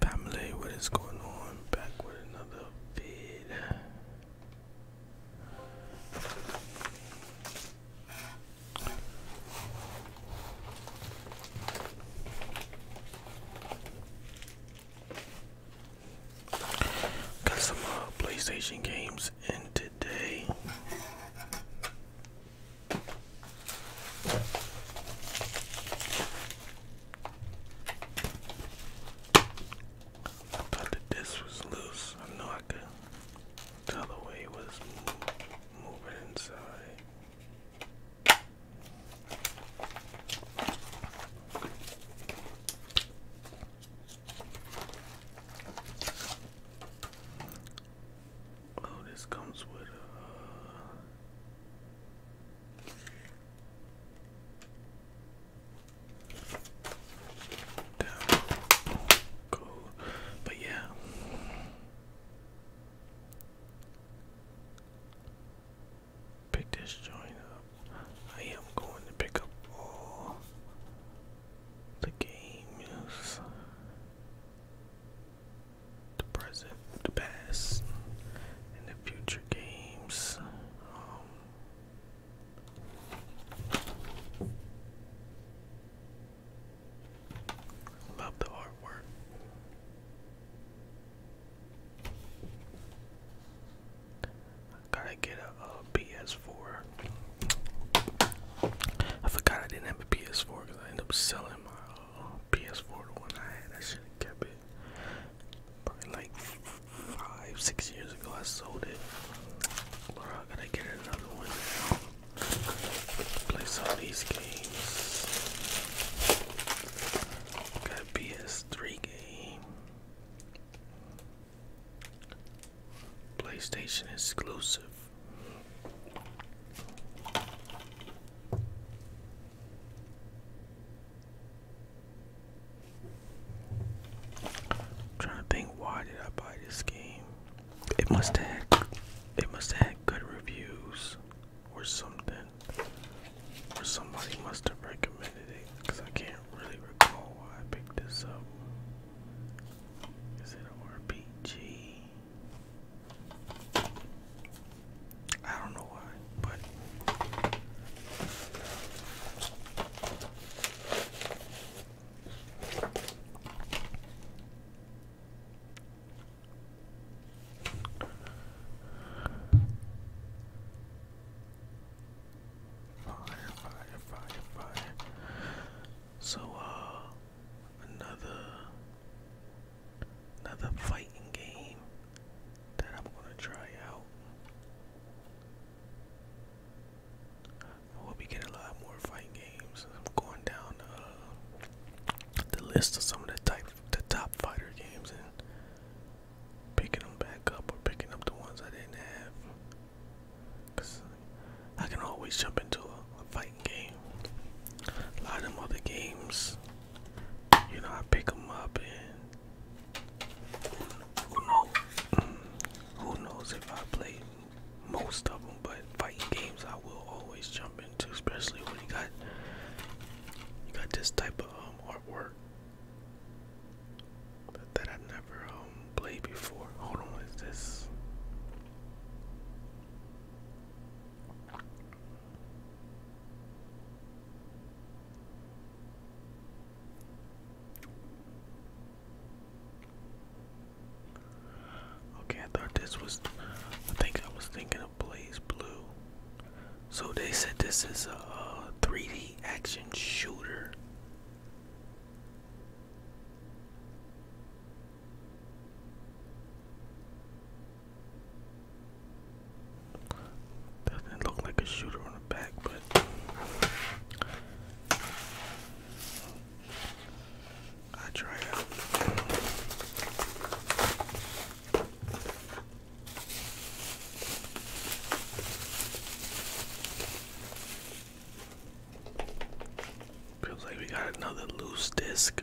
Family, what is going on? Back with another feed. Got some uh, PlayStation games and I thought that this was loose. I know I could tell the way it was mo moving inside. Oh, this comes with a. Uh, but yeah. Pick this joint up. I am going to pick up all the games, the present, the past, and the future games. love um, the artwork. Gotta get a, PS4. I forgot I didn't have a PS4 because I ended up selling my uh, PS4, the one I had. I should have kept it. Probably like five, six years ago, I sold it. But I gotta get another one Play some these games. Got a PS3 game. PlayStation exclusive. trying to think why did I buy this game? It must have it must have good reviews or something. Or somebody must have recommended it because I can't really recall why I picked this up. Is it RPG? I don't know why, but Fire, fire, fire, fire. So, uh, another, another fighting game that I'm gonna try out. I hope we get a lot more fighting games. I'm going down uh, the list of some of the type, the top fighter games, picking them back up or picking up the ones I didn't have. Cause I can always jump into a, fighting game. A lot of them other games, you know, I pick them up and who knows? Who knows if I play most of them? But fighting games, I will always jump into, especially when you got you got this type of um, artwork that I've never um, played before. Hold on, what is this? Okay, I thought this was I think I was thinking blaze blue. So they said this is a, 3D action shooter. Doesn't look like a shooter on the back, but I try Feels like we got another loose disc.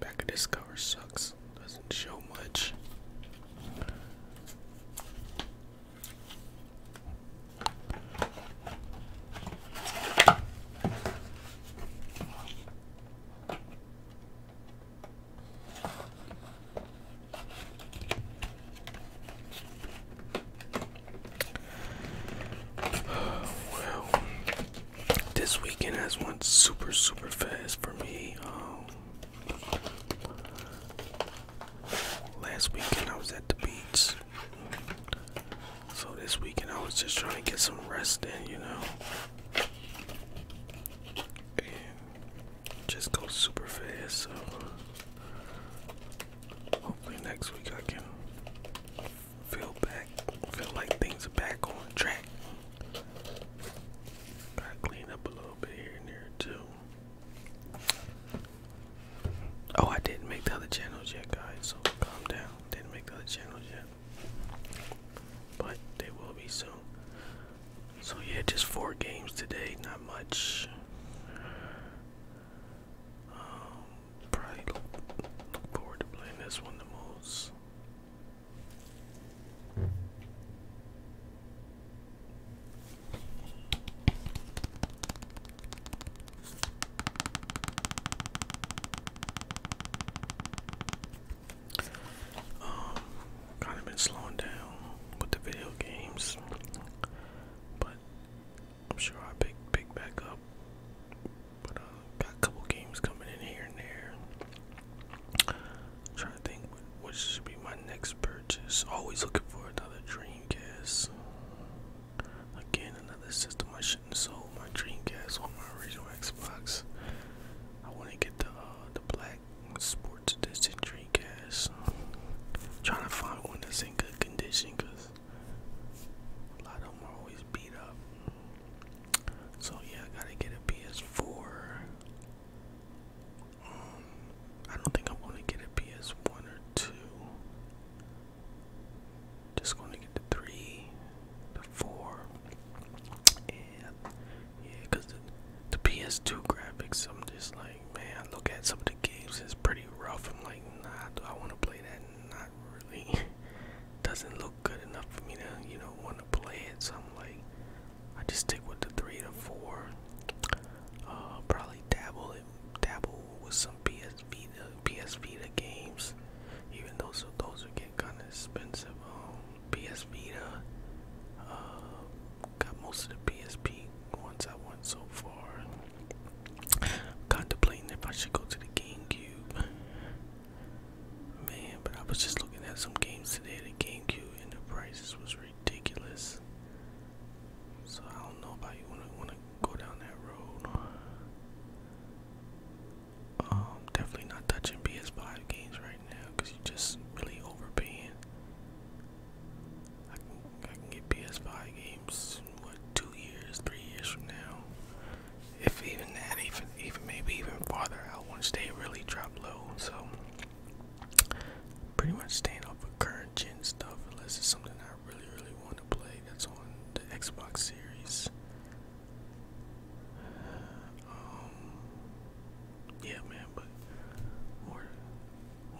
Back of this cover sucks. Doesn't show much well, this weekend has went super, super fast for me. Um, last weekend I was at the beach, so this weekend I was just trying to get some rest in, you know just go super fast. So hopefully next week I can feel back, feel like things are back on track. Gotta clean up a little bit here and there too. Oh, I didn't make the other channels yet, guys. So calm down. Didn't make the other channels yet, but they will be soon. So yeah, just four games today, not much. Um, probably look forward to playing this one the most. Um, kind of been slowing down with the video games, but I'm sure I pick pick back up. But uh, got a couple games coming in here and there. I'm trying to think what should be my next purchase. Always looking for another Dreamcast. Again, another system I shouldn't sell sold my Dreamcast on my original Xbox. I want to get the uh, the black black sports dysentery gas. Trying to find one that's in good condition because a lot of them are always beat up. So, yeah, I gotta get a PS4. Um, I don't think I'm gonna get a PS1 or 2. Just gonna get the 3, the 4, and yeah, cause the, PS2 graphics, I'm just like, man, look at some of the games. It's pretty rough. I'm like, nah, do I want to play that? Not really. Doesn't look good enough for me to, you know, want to play it. So I'm like, I just stick with the three to four. Uh, probably dabble dabble with some PS Vita, uh, PS Vita games. Even those, so those are getting kind of expensive. Um, PS Vita. Uh, got most of the PSP ones I want so far. Contemplating if I should go to the GameCube. Man, but I was just looking at some games today. The GameCube and the prices was ridiculous. So I don't know about you want to want to go down that road. Um, definitely not touching PS5 games right now because you just really overpaying. I can, I can get PS5 games what two years, three years from now, if even that, even even maybe even farther out once they really drop low. So pretty much staying off of current gen stuff unless it's something I really really want to play that's on the Xbox Series um, yeah, man, but more,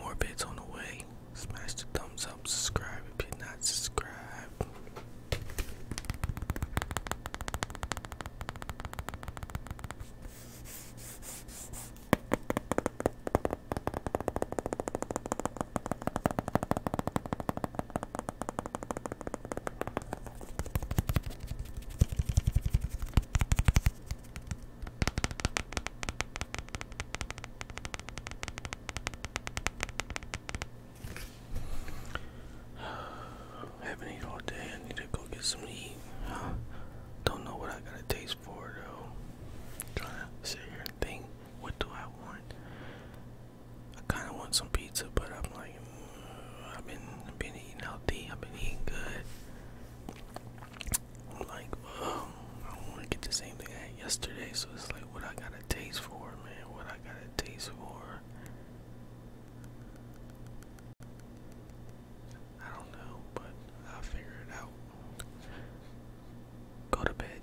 more bits on the way. Smash the thumbs up, subscribe if you're not subscribed. I haven't eaten all day. I need to go get some to eat. Huh? Don't know what I got a taste for though. Trying to sit here and think, what do I want? I kind of want some pizza, but I'm like, mm, I've been been eating healthy. I've been eating good. I'm like, well, oh, I want to get the same thing I had yesterday. So it's like, what I got a taste for, man? What I got a taste for? I don't know, but I'll figure it out. Go to bed.